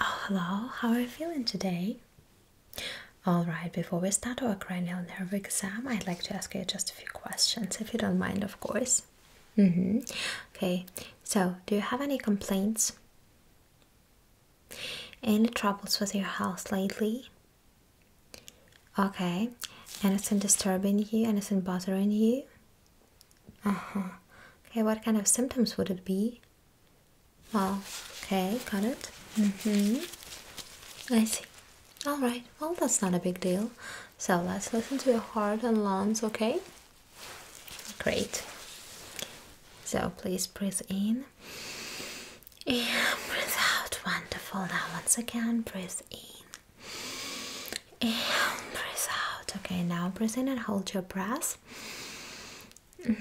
Oh, hello, how are you feeling today? Alright, before we start our cranial nerve exam, I'd like to ask you just a few questions, if you don't mind, of course. Mm hmm Okay, so do you have any complaints? Any troubles with your health lately? Okay, anything disturbing you? Anything bothering you? Uh huh. Okay, what kind of symptoms would it be? Oh, okay, got it. Mm-hmm. I see. Alright, well that's not a big deal. So let's listen to your heart and lungs, okay? Great. So please breathe in. And breathe out. Wonderful. Now once again, breathe in. And breathe out. Okay, now breathe in and hold your breath yes. Mm,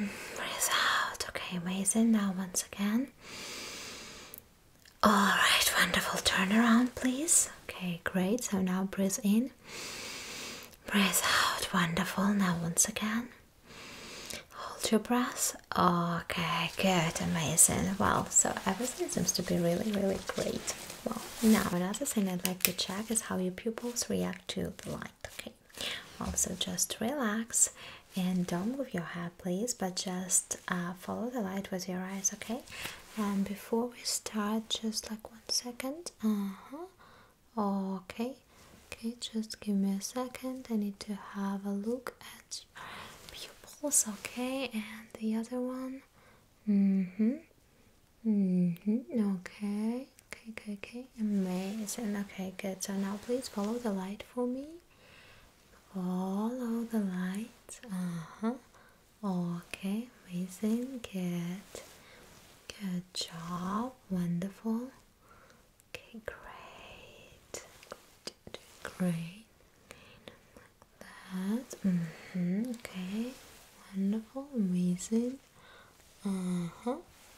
result. Okay, amazing. Now, once again. Alright, wonderful. Turn around, please. Okay, great. So now breathe in. Breathe out. Wonderful. Now, once again. Hold your breath. Okay, good. Amazing. Well, so everything seems to be really, really great. Well, now another thing I'd like to check is how your pupils react to the light okay also just relax and don't move your hair please but just uh, follow the light with your eyes okay and before we start just like one second uh-huh okay okay just give me a second i need to have a look at pupils okay and the other one mm-hmm -hmm. Okay. Okay. Okay. Okay. Amazing. Okay. Good. So now, please follow the light for me. Follow the lights. Uh huh. Okay. Amazing. Good. Good job. Wonderful. Okay. Great. Great. that. Mm -hmm. Okay. Wonderful. Amazing. Uh huh.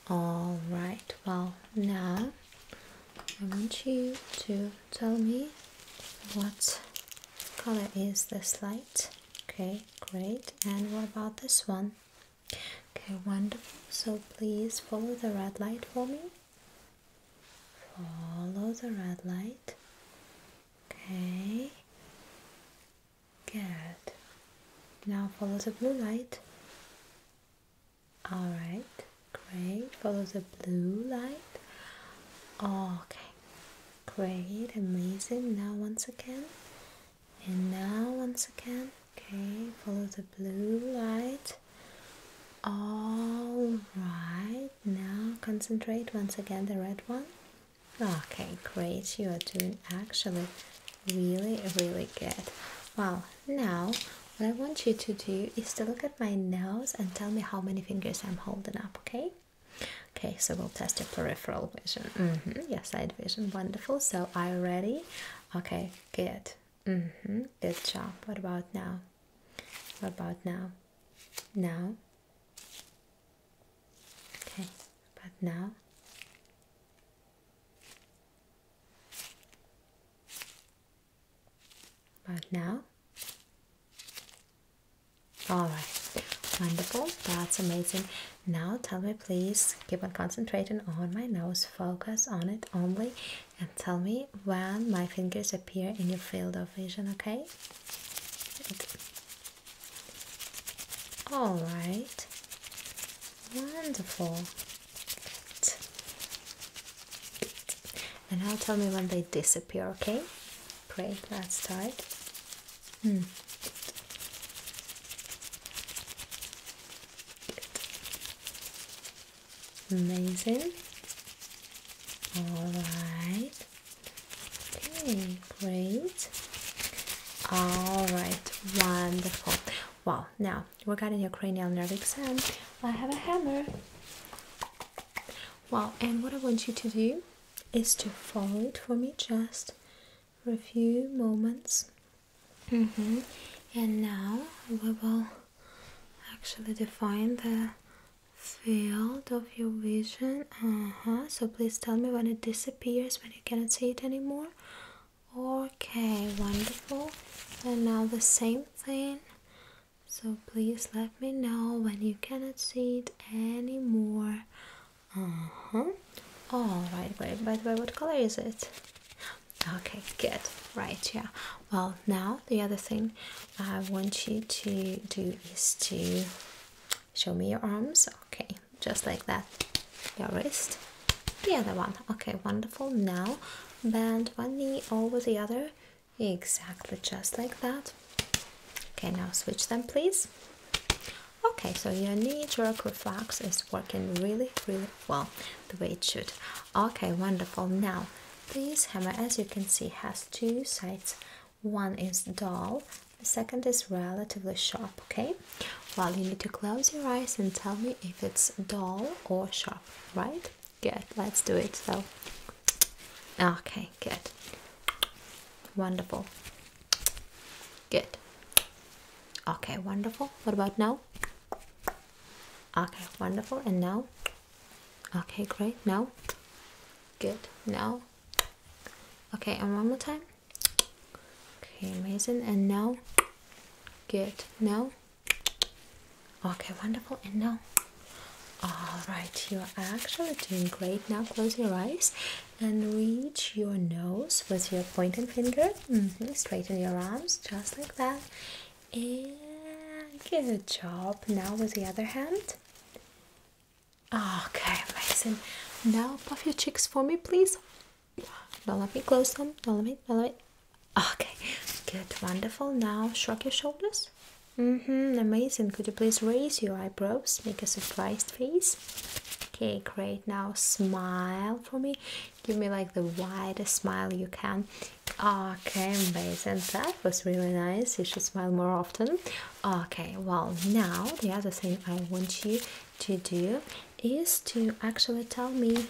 All right. Well, now I want you to tell me what color is this light. Okay, great. And what about this one? Okay, wonderful. So please follow the red light for me. Follow the red light. Okay. Good. Now follow the blue light. Alright, great. Follow the blue light. Okay, great, amazing. Now once again. And now once again. Okay, follow the blue light. Alright, now concentrate once again the red one. Okay, great. You are doing actually really, really good. Well, now what I want you to do is to look at my nose and tell me how many fingers I'm holding up, okay? Okay, so we'll test your peripheral vision. Mm -hmm. side vision, wonderful. So, are you ready? Okay, good. Mm -hmm. Good job. What about now? What about now? Now? Okay, but now but now all right wonderful that's amazing now tell me please keep on concentrating on my nose focus on it only and tell me when my fingers appear in your field of vision okay all right. Wonderful. Good. Good. And now tell me when they disappear, okay? Great, let's start. Hmm. Amazing. All right. Okay, great. All right, wonderful. Wow. now regarding your cranial nerve exam, I have a hammer. Well, and what I want you to do is to follow it for me just for a few moments. Mm -hmm. And now we will actually define the field of your vision. Uh huh. So please tell me when it disappears disappears when you cannot see it anymore. Okay, wonderful. And now the same thing. So please let me know when you cannot see it anymore. Uh huh. All right. Wait. By the way, what color is it? Okay. Good. Right. Yeah. Well, now the other thing I want you to do is to Show me your arms. Okay, just like that. Your wrist. The other one. Okay, wonderful. Now bend one knee over the other. Exactly, just like that. Okay, now switch them, please. Okay, so your knee jerk reflex is working really, really well the way it should. Okay, wonderful. Now, this hammer, as you can see, has two sides one is dull, the second is relatively sharp. Okay, well, you need to close your eyes and tell me if it's dull or sharp, right? Good, let's do it. So, okay, good, wonderful, good, okay, wonderful. What about now? Okay, wonderful, and now, okay, great, now. Good. Now, Okay, and one more time. Okay, amazing. And now, good. Now, okay, wonderful. And now, all right, you are actually doing great. Now, close your eyes and reach your nose with your pointed finger. Mm-hmm, straighten your arms just like that. And good job. Now, with the other hand. Okay, amazing. Now puff your cheeks for me, please. Don't let me close them. Don't let me. Don't let me. Okay, good, wonderful. Now shrug your shoulders. Mm-hmm, amazing. Could you please raise your eyebrows? Make a surprised face. Okay, great. Now smile for me. Give me like the widest smile you can. Okay, amazing. That was really nice. You should smile more often. Okay, well, now the other thing I want you to do is to actually tell me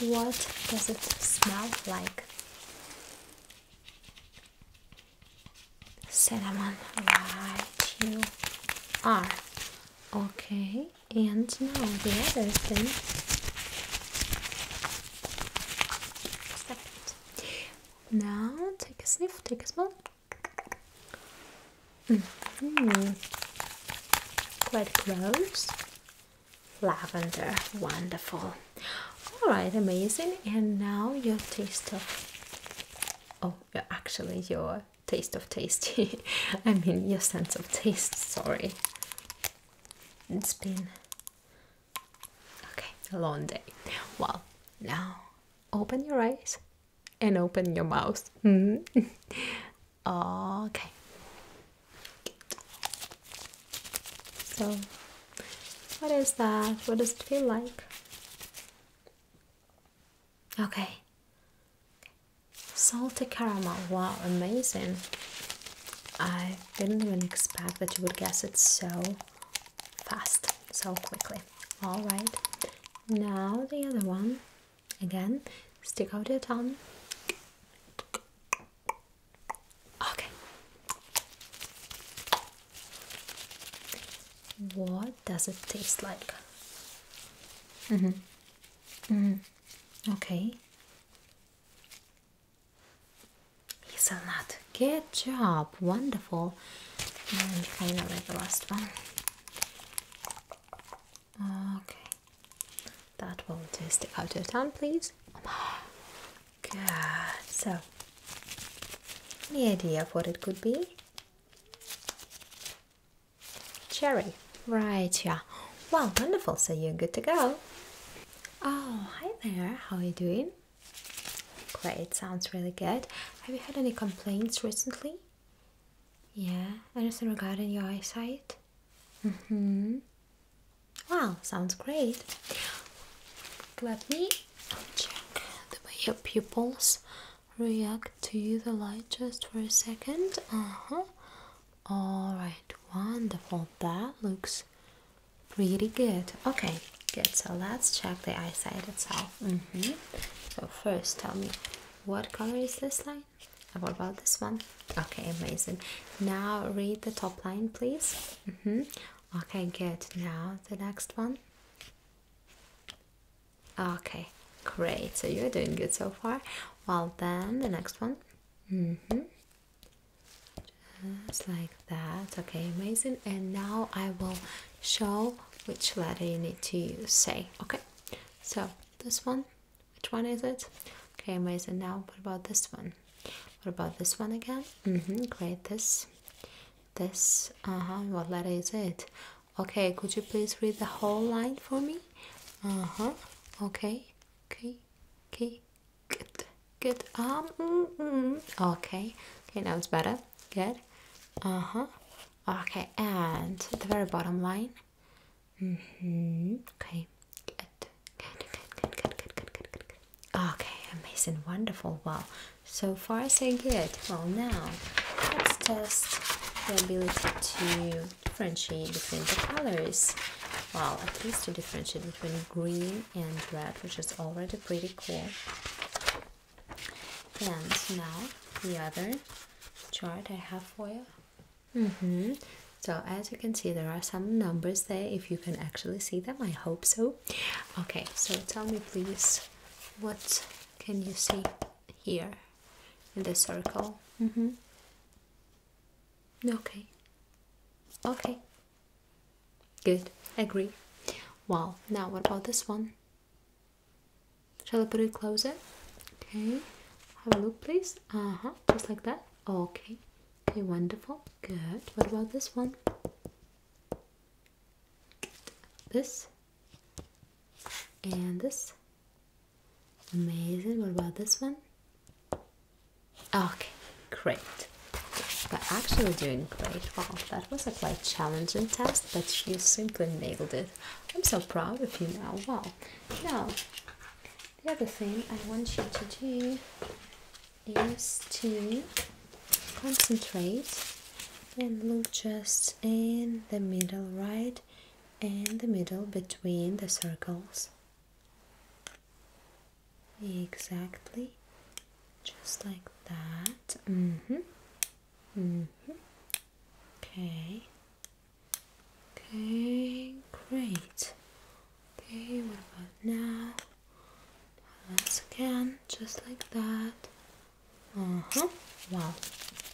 what does it smell like? Cinnamon, right, you are. Okay, and now the other thing. Now take a sniff, take a smell. Mm -hmm. Quite close. Lavender, wonderful. All right, amazing. And now your taste of. Oh, actually, your taste of tasty. I mean, your sense of taste. Sorry. It's been. Okay, a long day. Well, now open your eyes and open your mouth. Mm-hmm. okay. So, what is that? What does it feel like? Okay. Salty caramel. Wow, amazing. I didn't even expect that you would guess it so fast, so quickly. All right, now the other one again. Stick out your tongue. Okay. What does it taste like? Mm hmm. Mm hmm. Okay. Hazelnut. Good job. Wonderful. And kind of like the last one. Okay. That one do. Stick out your tongue, please. Good. So, any idea of what it could be? Cherry. Right, yeah. Wow, wonderful. So you're good to go. Oh, hi there. How are you doing? Great, sounds really good. Have you had any complaints recently? Yeah, anything regarding your eyesight? Mm-hmm. Wow, sounds great. Let me check the way your pupils react to the light just for a second. Uh-huh. Alright, wonderful. That looks pretty good. Okay, Good, so let's check the eyesight itself. Mm-hmm. So, first, tell me what color is this line? And what about this one? Okay, amazing. Now, read the top line, please. Mm-hmm. Okay, good. Now, the next one. Okay, great. So, you're doing good so far. Well, then, the next one. hmm Just like that okay amazing and now i will show which letter you need to say okay so this one which one is it okay amazing now what about this one what about this one again mm-hmm great this this uh-huh what letter is it okay could you please read the whole line for me uh-huh okay okay okay good good um mm-hmm, okay okay now it's better good uh-huh okay and the very bottom line mm-hmm okay good good good good good good good good good okay amazing wonderful wow so far so good well now let's test the ability to differentiate between the colors well at least to differentiate between green and red which is already pretty cool and now the other chart I have for you. Mm hmm So as you can see, there are some numbers there. If you can actually see them, I hope so. Okay, so tell me please, what can you see here in the circle? Mm hmm Okay. Okay, Good, agree. Well, now what about this one? Shall I put it closer? Okay, have a look, please. Uh huh, just like that. Okay, okay, wonderful. Good, what about this one? This and this. Amazing, what about this one? Okay, great. But actually doing great. Wow, that was a quite challenging test, but you simply nailed it. I'm so proud of you now. Wow. Now, the other thing I want you to do is to concentrate and look just in the middle, right? In the middle between the circles. Exactly. Just like that. Mm-hmm. Mm-hmm. Okay. Okay, great. Okay, what about now? Once again, just like that. Uh-huh. Well.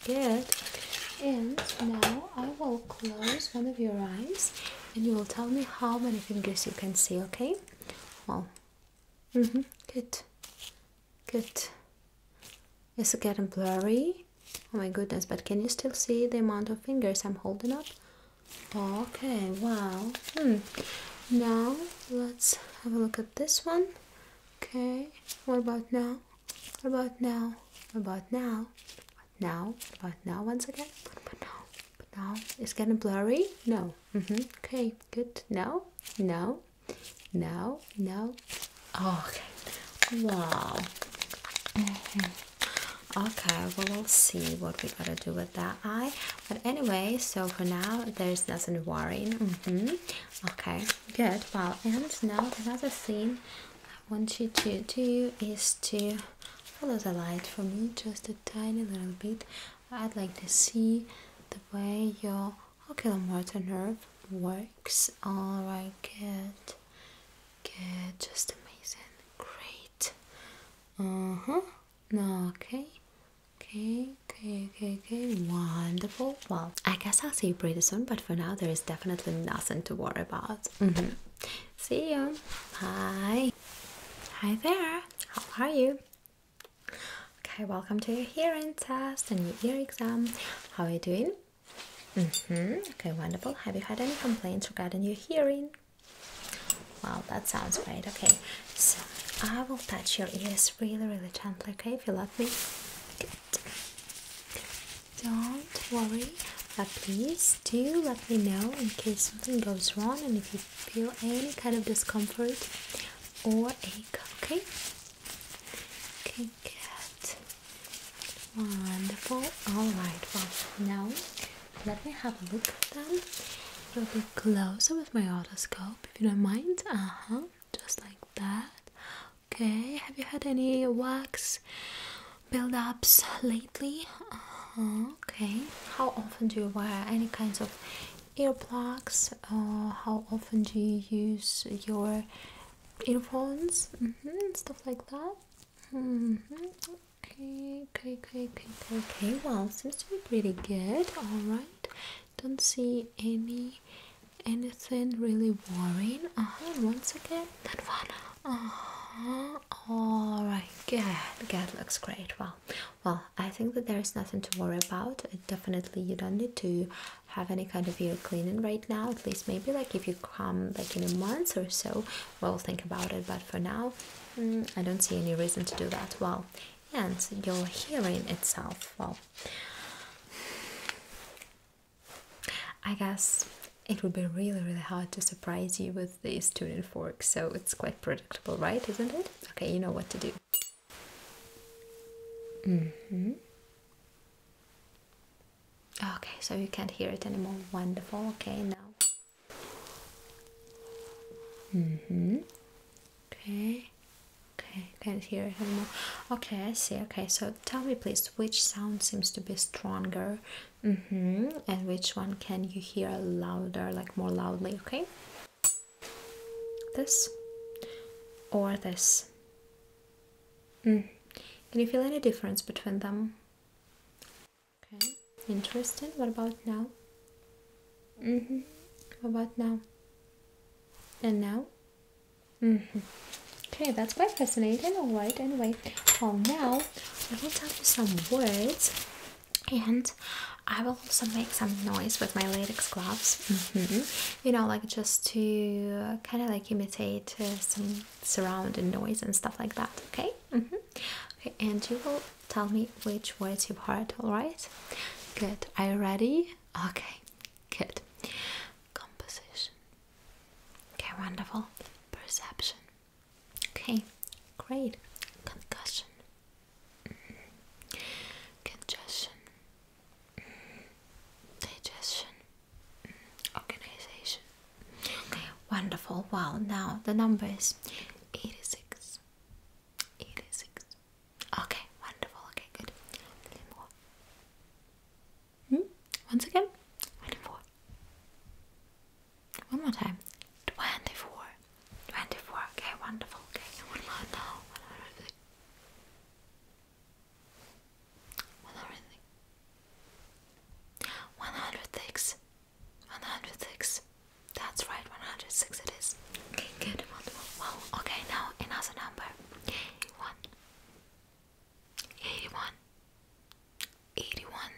Good. And now I will close one of your eyes and you will tell me how many fingers you can see, okay? Well, Mm-hmm. Good. Good. It's getting blurry. Oh my goodness, but can you still see the amount of fingers I'm holding up? Okay, wow. Hmm. Now let's have a look at this one. Okay, what about now? What about now? What about now? What now? What about now once again? What now? What about now? It's getting blurry? No. Mm -hmm. Okay, good. Now, now, now, now. Oh, okay. Wow. Mm Okay, well, we'll see what we gotta do with that eye. But anyway, so for now, there's nothing worrying. Mm -hmm. Okay, good. Well, and now another thing I want you to do is to follow the light for me just a tiny little bit. I'd like to see the way your oculomotor nerve works. Alright, good. Good, just amazing. Great. Uh-huh. No, okay. Okay, okay, okay, okay. Wonderful. Well, I guess I'll see you pretty soon, but for now there is definitely nothing to worry about. Mm -hmm. See you. Bye. Hi there. How are you? Okay, welcome to your hearing test and your ear exam. How are you doing? Mm-hmm. Okay, wonderful. Have you had any complaints regarding your hearing? Wow, that sounds great. Okay, so I will touch your ears really, really gently. Okay, if you love me. Don't worry, but please do let me know in case something goes wrong and if you feel any kind of discomfort or ache, okay? Okay, get Wonderful. Alright, well, now let me have a look at them a little bit closer with my otoscope, if you don't mind. Uh huh, just like that. Okay, have you had any wax build ups lately? Uh-huh, okay, how often do you wear any kinds of earplugs uh, how often do you use your earphones mm stuff like that mm -hmm. okay, okay okay okay okay well seems to be pretty good all right don't see any anything really worrying uh-huh once again that one uh-huh all right good good looks great well well, I think that there is nothing to worry about. Definitely, you don't need to have any kind of ear cleaning right now. At least, maybe like if you come like in a month or so, we'll think about it. But for now, mm, I don't see any reason to do that. Well, and your hearing itself, well, I guess it would be really, really hard to surprise you with these tuning forks, so it's quite predictable, right? Isn't it? Okay, you know what to do. Mm-hmm. Okay, so you can't hear it anymore. Wonderful. Okay, now. Mm Okay. Okay, can't hear it anymore. Okay, I see. Okay, so tell me please, which sound seems to be stronger? Mm hmm. And which one can you hear louder, like more loudly? Okay. This or this? Mm. Can you feel any difference between them? Okay, interesting. What about now? Mm hmm. about now? And now? Mm hmm. Okay, that's quite fascinating. Alright, anyway. Well, now I will tell you some words and I will also make some noise with my latex gloves, mm-hmm. you know, like just to kind of like imitate uh, some surrounding noise and stuff like that. Okay, mm-hmm. okay, and you will tell me which words you heard. All right, good. Are you ready? Okay, good. Composition. Okay, wonderful. Perception. Okay, great. Concussion. Congestion. Digestion. Organization. wonderful. Wow, now the number is 86. 86. Okay, wonderful. Okay, good. Hmm? Once again, 24. One more time. 24. 24. Okay, wonderful. Okay, one hundred. more now. One 106. 106. That's right, 106 it is. Okay, good. Wonderful. Wow. Okay, now another number. 81. 81. 81.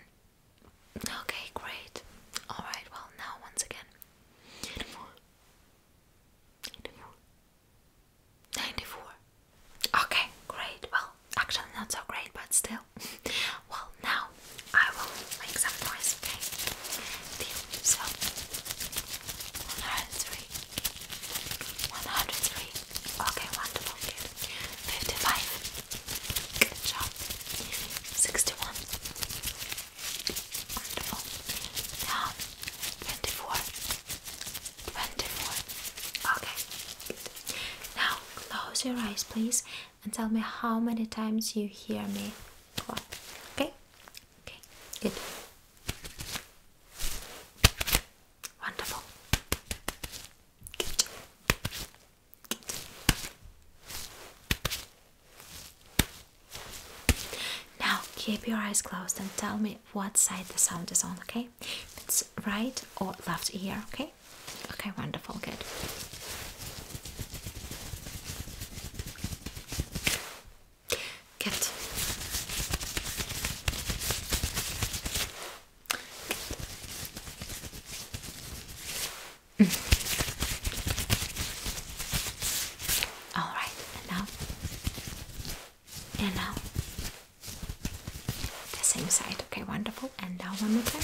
Okay, great. Alright, well, now once again. 94. Okay, great. Well, actually, not so great, but still. well, now I will make some noise, okay? Deal. So, 103. 55. Good job. 61. Wonderful. Now, 24. 24. Okay. Now, close your eyes, please, and tell me how many times you hear me clap. Okay? Okay. Good. Wonderful. Good. Now keep your eyes closed and tell me what side the sound is on, okay? it's right or left ear, okay? Okay, wonderful, good. Good. good. All right, and now, and now, the same side. Okay, wonderful. And now one more time.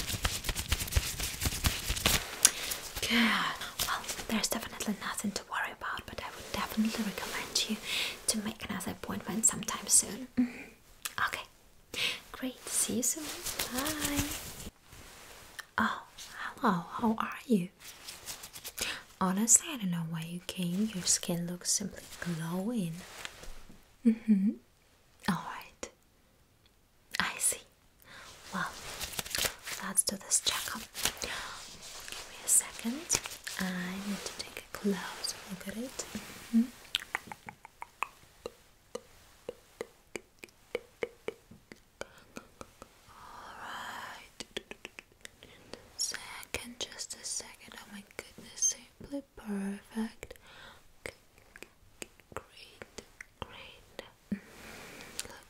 Good. Well, there's definitely nothing to worry about, but I would definitely recommend you to make another appointment sometime soon. Mm-hmm. Okay. Great. See you soon. Bye. Oh, hello, how are you? Honestly, I don't know why you came. Your skin looks simply glowing. Mm-hmm. Alright. I see. Well, let's do this checkup. Give me a second. I need to take a close look at it. Mm-hmm. Alright. Second, just a second. Oh my goodness, simply perfect. Great, great. Mm,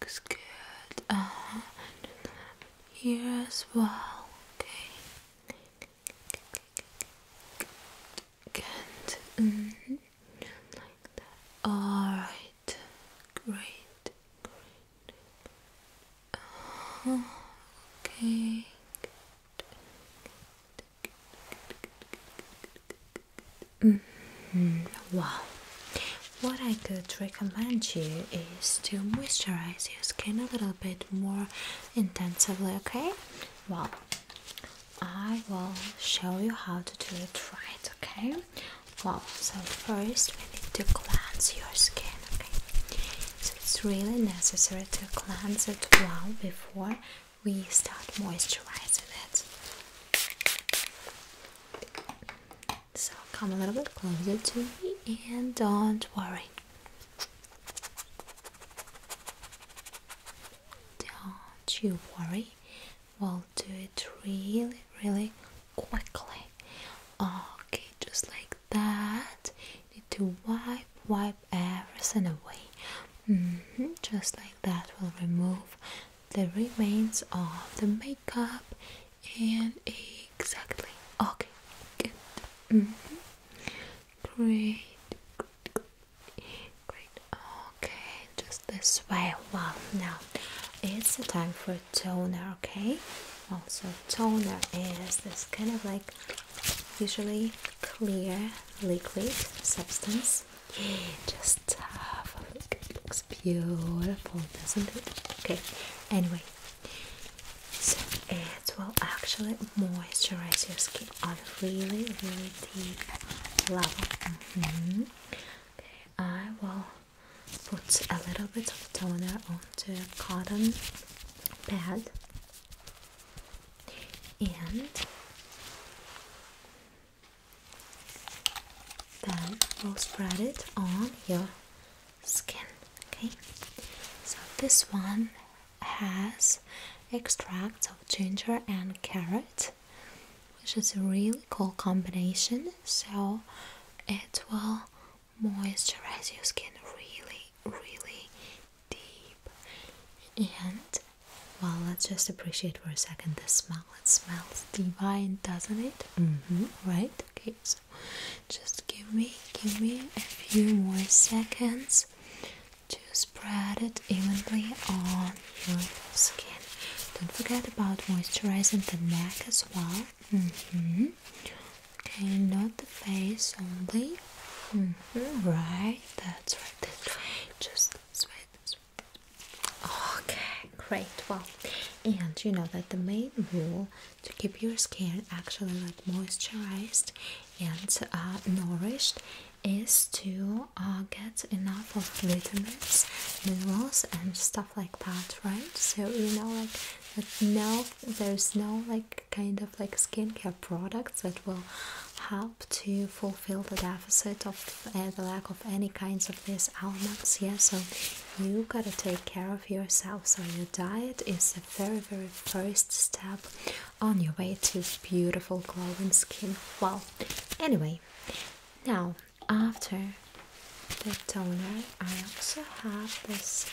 looks good. Uh, uh-huh. here as well. Okay. Good. Mm-hmm. Alright, great, okay, -hmm. Wow. What I could recommend you is to moisturize your skin a little bit more intensively, okay? Well, I will show you how to do it right, okay? Well, so first we need to cleanse your skin, okay? So it's really necessary to cleanse it well before we start moisturizing it. So come a little bit closer to me and don't worry. Don't you worry, we'll do it really, really quickly. Okay, just like that. Need to wipe, wipe everything away. Mm-hmm, just like that, we'll remove the remains of the makeup and exactly. Okay, good. Mm-hmm. Great. Great. Okay, just this way. Wow. Now it's the time for toner. Okay. Also, toner is this kind of like usually clear liquid substance. Just have It looks beautiful, doesn't it? Okay. Anyway, so it will actually moisturize your skin on really, really deep level. Mm-hmm. Okay, I will put a little bit of toner onto a cotton pad and then we'll spread it on your skin. Okay, so this one has extracts of ginger and carrot which is a really cool combination. So it will moisturize your skin really, really deep. And well, let's just appreciate for a second the smell. It smells divine, doesn't it? Mm-hmm. Right? Okay. So just give me, give me a few more seconds to spread it evenly on your skin. Don't forget about moisturizing the neck as well. Mm-hmm. and not the face only. Mm-hmm, right, that's right. Just sweat, sweat. Okay, great. Well, and you know that the main rule to keep your skin actually like moisturized and uh, nourished is to now get enough of vitamins, minerals, and stuff like that, right? So you know, like that now there's no like kind of like skincare products that will help to fulfill the deficit of uh, the lack of any kinds of these elements. Yeah, so you gotta take care of yourself. So your diet is the very, very first step on your way to beautiful glowing skin. Well, anyway, now after the toner, I also have this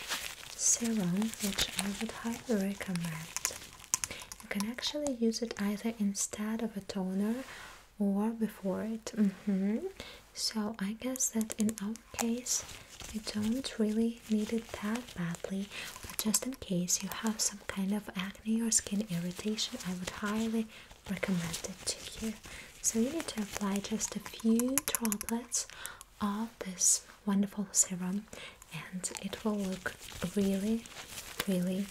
serum which I would highly recommend. You can actually use it either instead of a toner or before it. Mm-hmm. So I guess that in our case, you don't really need it that badly, but just in case you have some kind of acne or skin irritation, I would highly recommend it to you. So, you need to apply just a few droplets of this wonderful serum, and it will look really, really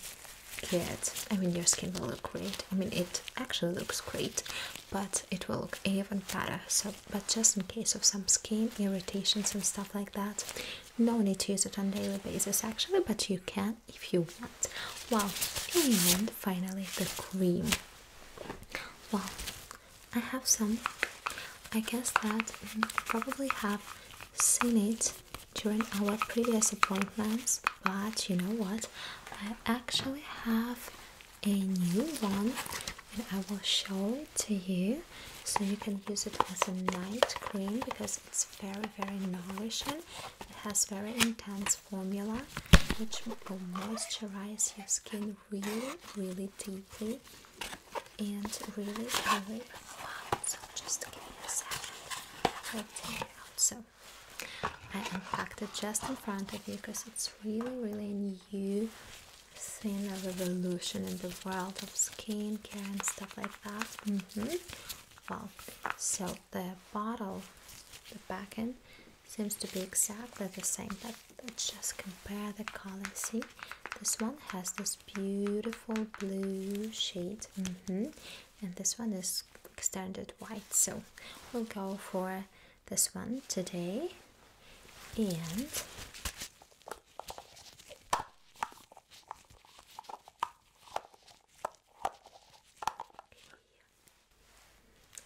good. I mean, your skin will look great. I mean, it actually looks great, but it will look even better. So, but just in case of some skin irritations and stuff like that, no need to use it on daily basis actually but you can if you want well and finally the cream well i have some i guess that you probably have seen it during our previous appointments but you know what i actually have a new one and i will show it to you so you can use it as a night cream because it's very very nourishing. It has very intense formula which will moisturize your skin really really deeply and really really wow. So just to give you a second, like it So I unpacked it just in front of you because it's really really new seen a revolution in the world of skincare and stuff like that. Mm-hmm. Well, so the bottle, the back end seems to be exactly the same, but let's just compare the color. See, this one has this beautiful blue shade, mm-hmm. and this one is standard white. So we'll go for this one today, and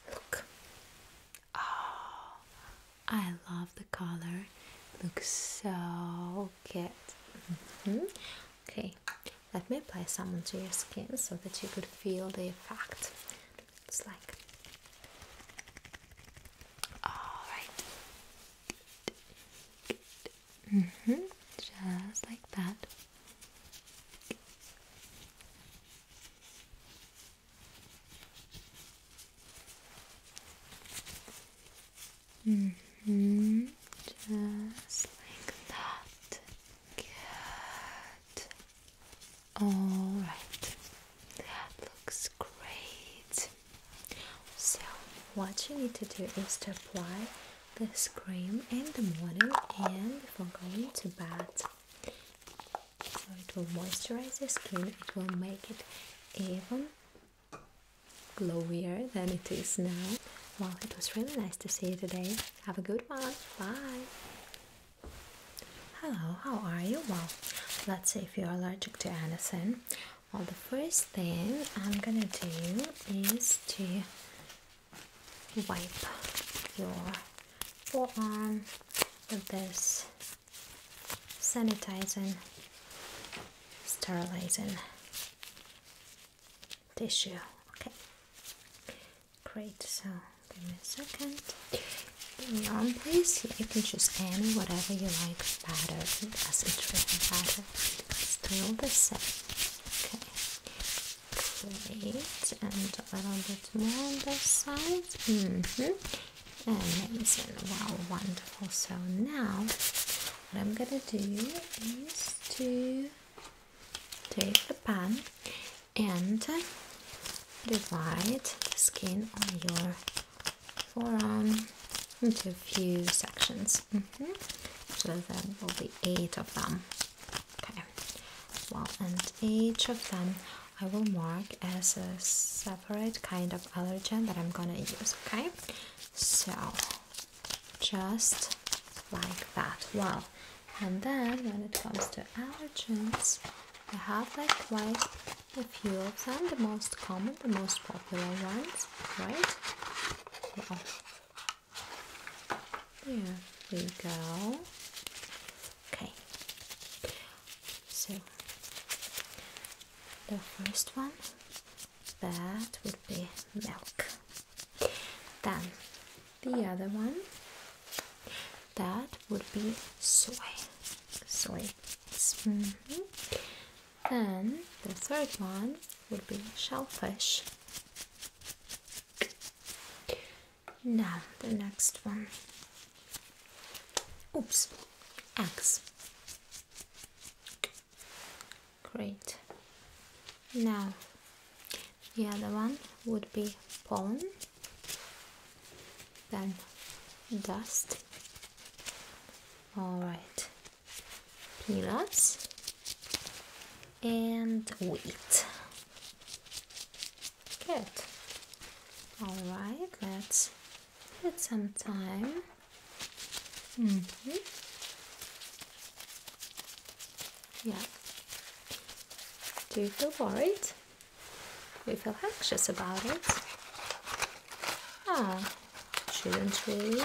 Look. Oh, I love the color. looks so cute. Mm-hmm. Okay, let me apply some onto your skin so that you could feel the effect. It's like. All right. Mm hmm. Just like that. Mm hmm. Just like that. Good. All right. That looks great. So, what you need to do is to apply this cream in the morning and before going to bed. So, it will moisturize your skin, it will make it even glowier than it is now. Well, it was really nice to see you today. Have a good one. Bye. Hello, how are you? Well, let's see if you're allergic to anything. Well, the first thing I'm gonna do is to wipe your forearm with this sanitizing, sterilizing tissue. Okay, great. So, give me a second. In your own place, you can choose any, whatever you like better, as it really matters. Okay, still the same. Okay, great. And a little bit more on this side. Mm-hmm. Amazing. Wow, wonderful. So now, what I'm gonna do is to take the pen and divide the skin on your forearm into a few sections. Mm-hmm. So there will be eight of them. Okay. Well, and each of them I will mark as a separate kind of allergen that I'm gonna use. Okay. So just like that. Well, and then when it comes to allergens, I have like quite a few of them, the most common, the most popular ones, right? Oh. There we go. Okay. So the first one that would be milk. Then the other one that would be soy. Soy. Mm-hmm. Then the third one would be shellfish. Now the next one. Oops, eggs. Great. Now the other one would be pollen, then dust. All right, peanuts and wheat. Good. All right, let's put some time. Mm-hmm. Yeah. Do you feel worried? Do you feel anxious about it? Ah, shouldn't really.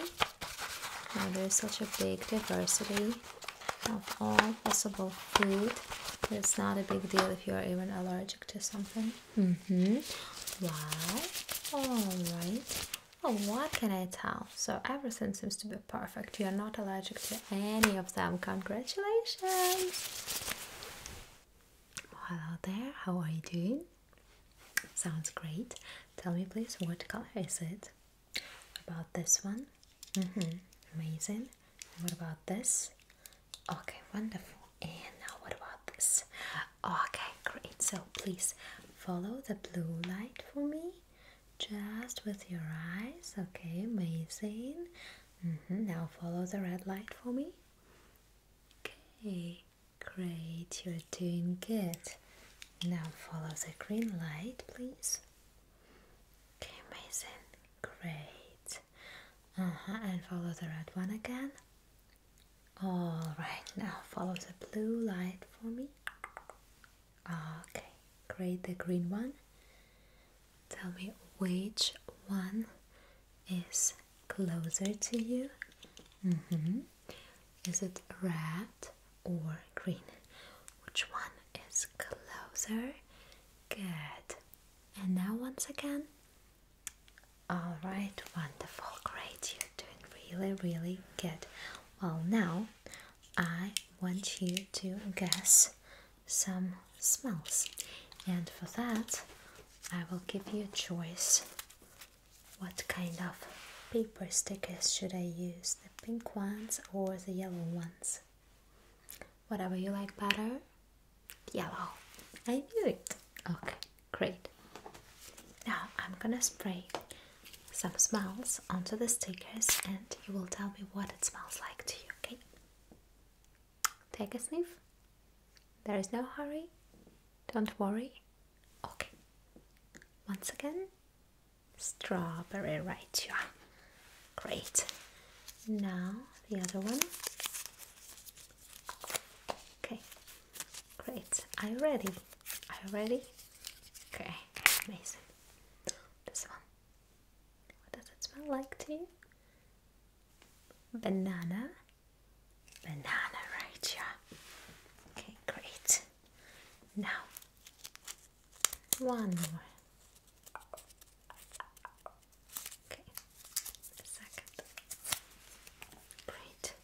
there's such a big diversity of all possible food it's not a big deal if you are even allergic to something. Mm-hmm. Wow. Alright. Oh, what can I tell? So everything seems to be perfect. You're not allergic to any of them. Congratulations! Hello there, how are you doing? Sounds great. Tell me, please, what color is it? about this one? Mm -hmm. Amazing. what about this? Okay, wonderful. And now, what about this? Okay, great. So, please follow the blue light for me just with your eyes. Okay, amazing. Mm -hmm. Now, follow the red light for me. Okay, Great, you're doing good. Now follow the green light, please. Okay, amazing. Great. Uh huh. And follow the red one again. All right. Now follow the blue light for me. Okay. Great. The green one. Tell me which one is closer to you. Mm-hmm. Is it red or green? Which one is closer? Good. And now once again. All right, wonderful, great. You're doing really, really good. Well, now I want you to guess some smells, and for that, I will give you a choice what kind of paper stickers should I use? The pink ones or the yellow ones? Whatever you like better. Yellow. I do it. Okay, great. Now I'm gonna spray some smells onto the stickers and you will tell me what it smells like to you, okay? Take a sniff. There is no hurry. Don't worry. Okay. Once again, strawberry, right? Yeah. Great. Now the other one. Okay. Great. Are you ready? Are you ready? Okay. Amazing. This one. What does it smell like to you? banana, banana right here. Okay, great. Now, one more. Okay, second. Great.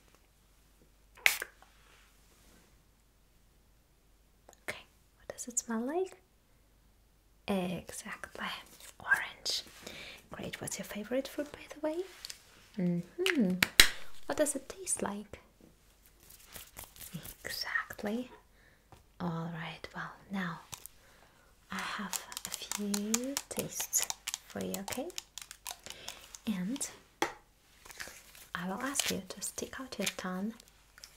Okay, what does it smell like? Exactly, orange. Great, what's your favorite fruit by the way? hmm. What does it taste like? Exactly. All right. Well, now I have a few tastes for you, okay? And I will ask you to stick out your tongue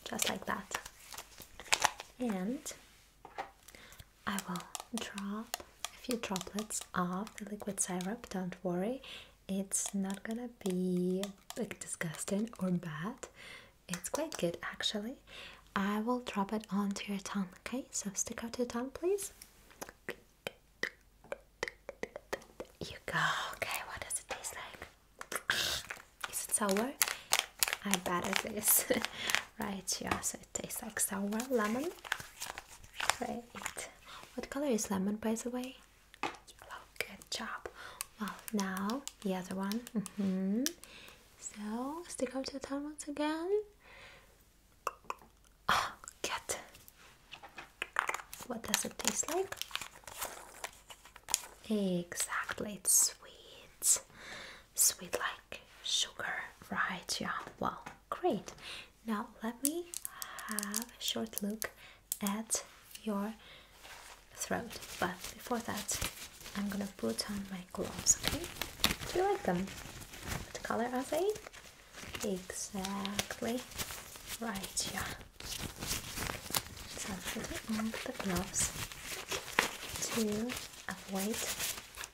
just like that. And I will drop a few droplets of the liquid syrup, don't worry. It's not gonna be like disgusting or bad. It's quite good actually. I will drop it onto your tongue, okay? So stick out your tongue, please. You go. Okay, what does it taste like? Is it sour? I bet it is. right, yeah, tastes like sour lemon. Great. What color is lemon, by the way? Yellow. Good job. Well, now the other one. Mm-hmm. So stick out your tongue once again. Oh, What does it taste like? Exactly, it's sweet sweet like sugar, right? Yeah, well, great. Now let me have a short look at your throat, but before that, I'm gonna put on my gloves, okay? Do you like them? The color I they? Exactly right, yeah. So I'm gonna put on the gloves to avoid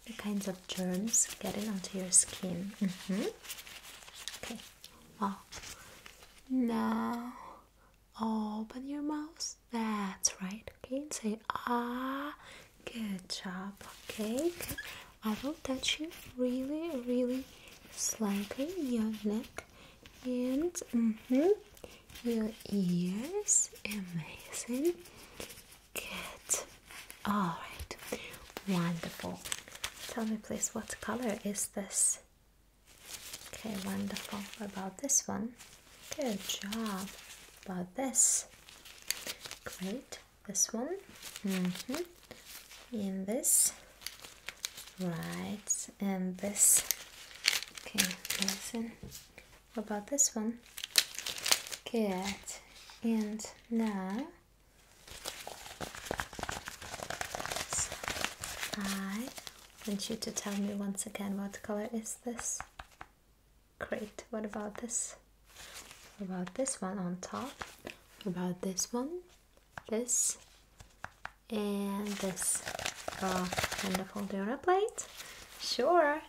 the kinds of germs getting onto your skin. Mm-hmm. Okay. Wow. Now open your mouth. That's right. Okay. say ah. Good job. Okay. I will touch you really, really slightly your neck and mm-hmm, your ears. Amazing. Good. All right. Wonderful. Tell me, please, what color is this? Okay, wonderful. About this one? Good job. About this? Great. This one? hmm. In this? Right. And this? Okay, listen. What about this one? Good. And now I want you to tell me once again what color is this? Great. What about this? about this one on top? about this one? This and this. Oh, and the foldera plate. Sure.